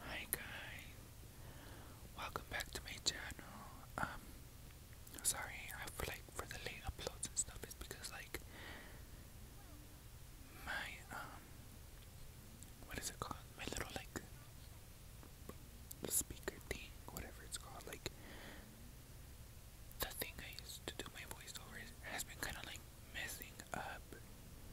Hi guys, welcome back to my channel. Um, sorry, I feel like for the late uploads and stuff is because like my um, what is it called? My little like speaker thing, whatever it's called, like the thing I used to do my voiceovers has been kind of like messing up,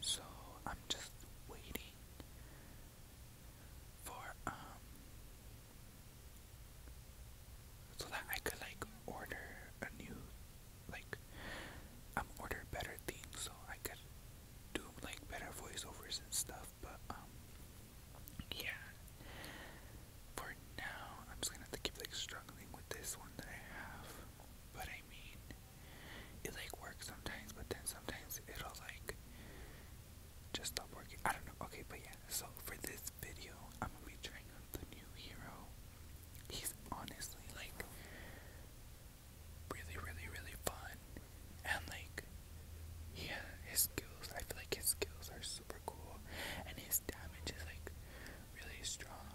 so I'm just waiting for um so that I could like order a new like um order better things so I could do like better voiceovers and stuff but um yeah for now I'm just gonna have to keep like struggling with this one that I have but I mean it like works sometimes, but then sometimes it'll like just stop working. I don't know. Okay, but yeah. So for this video, I'm gonna be trying out the new hero. He's honestly like really, really, really fun, and like yeah, his skills. I feel like his skills are super cool, and his damage is like really strong.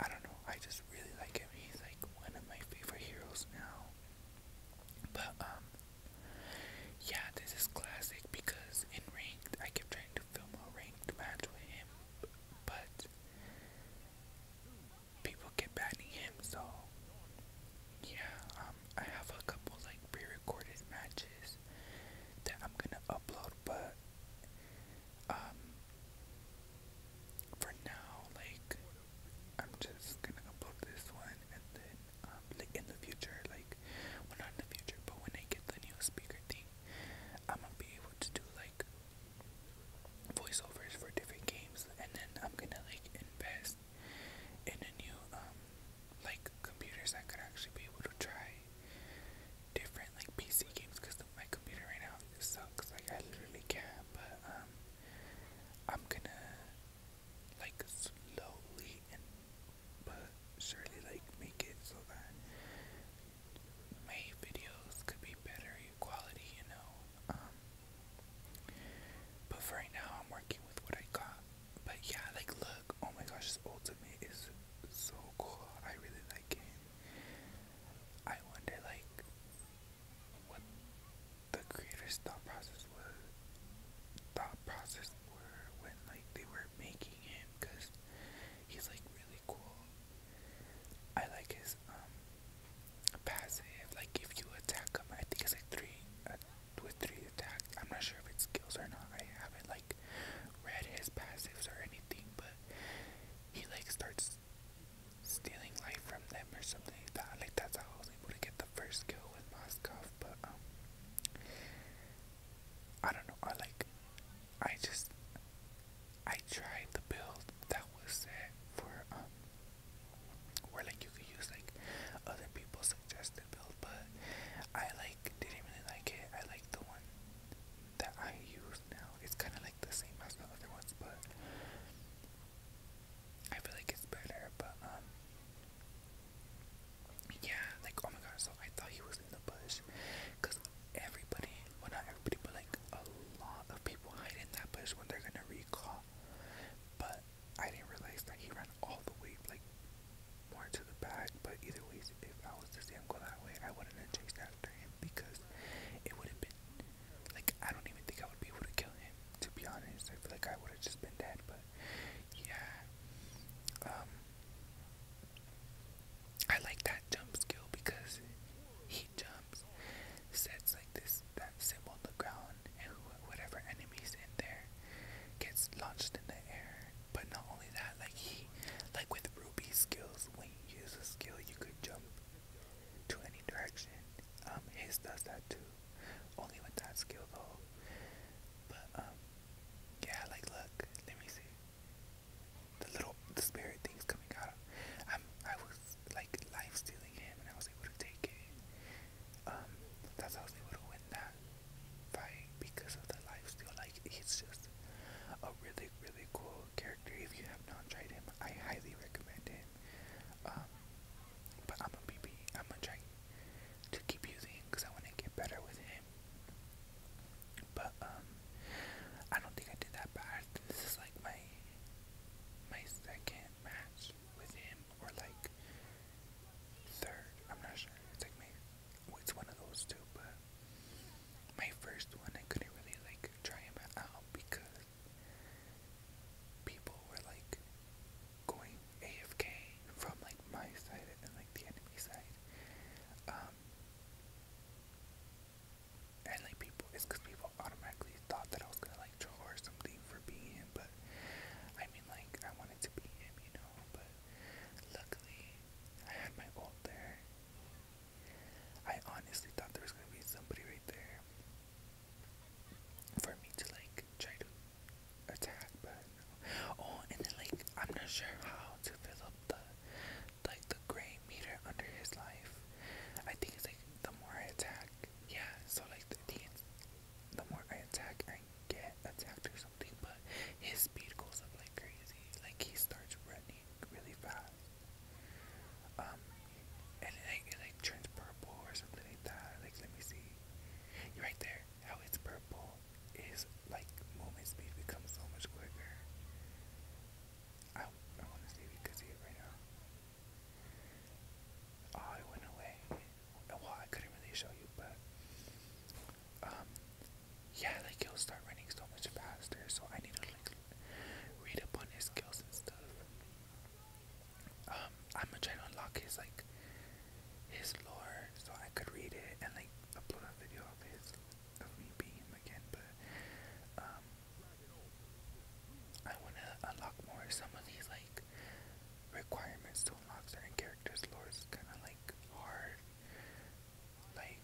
I don't know. I just really like him. He's like one of my favorite heroes now. But um, yeah, this is classic because in ranked, I kept trying to film a ranked match with him, but people kept banning him. So yeah, um, I have a couple like pre-recorded matches that I'm gonna upload, but um, for now, like, I'm just gonna upload this one, and then, um, like, in the future, like, well, not in the future, but when I get the new speaker thing, I'm gonna be able to do, like, voiceovers for different games, and then I'm gonna, like, invest in a new, um, like, computers that could actually be able to try different, like, PC games, because my computer right now. sucks. Like I literally can't. But um, I'm gonna like slowly and but surely like make it so that my videos could be better quality. You know. Um, but for right now, I'm working with what I got. But yeah, like look. Oh my gosh, this ultimate is so cool. I really like it. I wonder like what the creator's thought process was thought process were when like they were making him because he's like really cool i like his um passive like if you attack him i think it's like three uh, with three attack i'm not sure if it's skills or not i haven't like read his passives or anything but he like starts stealing life from them or something like that. Like that's how I was able to get the first kill with Moskov, but um, I don't know, I like I just I tried the build that was set for um where like you could use like other people's suggested build but I like didn't really like it. I like the one that I use now. It's kinda like the same as the other ones but I feel like it's better, but um, yeah, like oh my god, so I thought he was in the bush because everybody, well not everybody, but like a lot of people hide in that bush when they're gonna recall. But I didn't realize that he ran all the way like more to the back. But either ways, if I was to see him go that way, I wouldn't have chased after him because it would have been like, I don't even think I would be able to kill him, to be honest. I feel like I would have just been dead, but yeah. Um, I like that jump skill because he jumps, sets like this, that symbol on the ground, and whatever enemy's in there gets launched in the air. But not only that, like he, like with Ruby's skills, when you use a skill, you could jump to any direction. Um, his does that too, only with that skill though. But um, yeah, like look, let me see. The little the spirit things coming out. I'm I was like life stealing him, and I was able to take it. Um, that's how I was able to win that fight because of the life steal. Like he's just a really really cool character. If you have not tried him, I highly recommend him. Um, but I'm gonna be, I'm gonna try to keep using because I want to get better with him. But um, I don't think I did that bad. This is like my my second match with him, or like third. I'm not sure. It's like my it's one of those two, but my first one I couldn't really like try him out because people were like going AFK from like my side and like the enemy side. Um, and like people it's cause people automatically thought that I was gonna like draw or something for being him, but I mean like I wanted to be him, you know, but luckily I had my ult there I honestly thought there was gonna be somebody right there for me to like try to attack, but Oh, and then like I'm not sure how to fill up the like the gray meter under his life. I think it's like the more I attack, yeah. So like the, the more I attack, I get attacked or something. But his speed goes up like crazy. Like he starts running really fast. Um, and it like, turns purple or something like that. Like, let me see. right there. How it's purple is like movement speed becomes so much quicker. I, I want to see if you can see it right now. Oh, it went away. Well, I couldn't really show you, but um, yeah, like you will start running so much faster. So I need to like read up his skills and stuff. Um, I'm gonna try to unlock his like his lore so I could read it and like upload a video of his of me being him again. But um, I wanna unlock more. Some of these like requirements to unlock certain characters' lore is kind of like hard. Like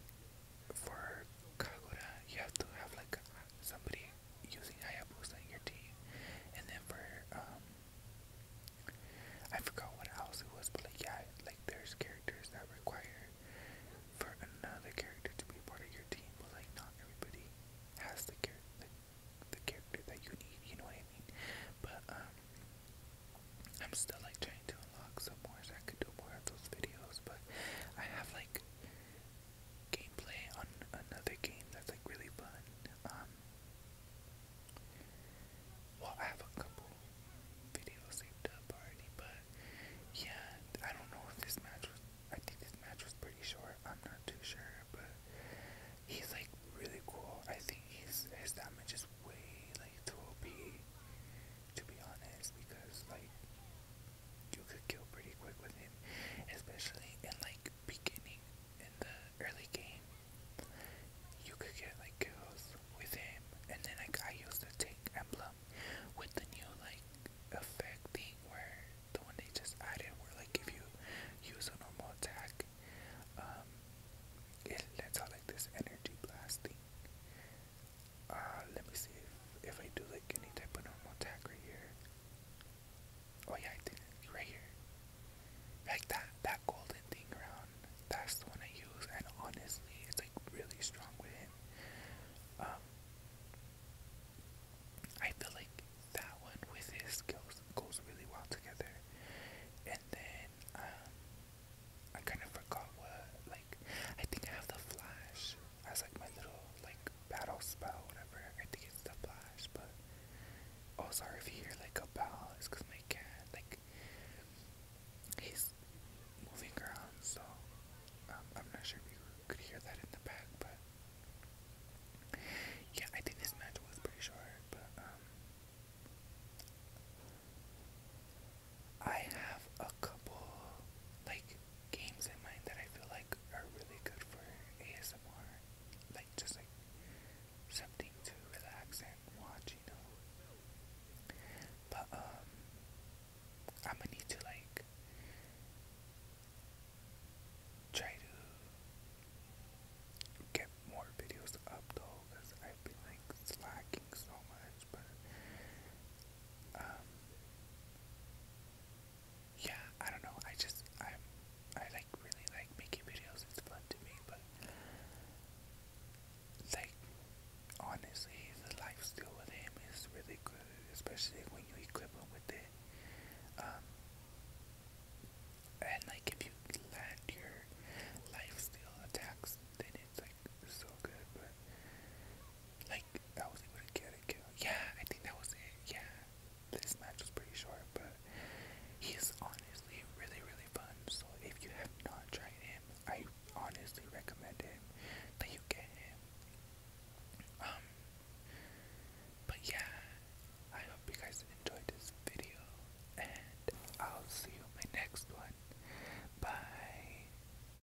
for Kagura, you have to have like somebody using Hayabusa in your team, and then for um, I forgot what else it was, but like yeah, like there's characters that require for another character to be part of your team, but like not everybody has the character the character that you need, you know what I mean? But um, I'm still like trying to unlock some more so I could do more of those videos, but I have like gameplay on another game that's like really fun. Um, well, I have a couple videos saved up already, but yeah, I don't know if this match was. I think this match was pretty short. I'm not too sure, but he's like really cool. I think he's his damage is way like too OP, to be honest, because like you could kill pretty quick with him, especially in like beginning in the early game. You could get like kills with him, and then like I used the tank emblem with the new like effect thing where the one they just added, where like if you use a normal attack, um, it lets out like this energy blasting. Uh, let me see if, if I do like any type of normal attack right here. Oh yeah, I did it right here. Like that, that golden thing around. That's the one I use, and honestly, it's like really strong with him. Um, I feel like that one with his skills goes really well together. And then um, I kind of forgot what I think I have the flash as like my little like battle spell, whatever. I think it's the flash, but oh sorry if you hear like a bell, it's cause my cat like he's moving around, so um, I'm not sure if you could hear that in the back, but yeah, I think this match was pretty short, but um. I have a couple like games in mind that I feel like are really good for ASMR. Like just like something to relax and watch, you know. But um I'm gonna need to like try to get more videos up though because I've been like slacking so much those, but um, yeah, I don't know. I just I'm I like really like making videos. It's fun to me, but like honestly, the life steal with him is really good, especially when you equip him with it. Um, and like if you land your life steal attacks, then it's like so good. But like I was able to get a Yeah, I think that was it. Yeah, this match was pretty short, but he's honestly really, really fun. So if you have not tried him, I honestly recommend him that you get him. Um, but yeah, I hope you guys enjoyed this video, and I'll see you in my next one. Bye.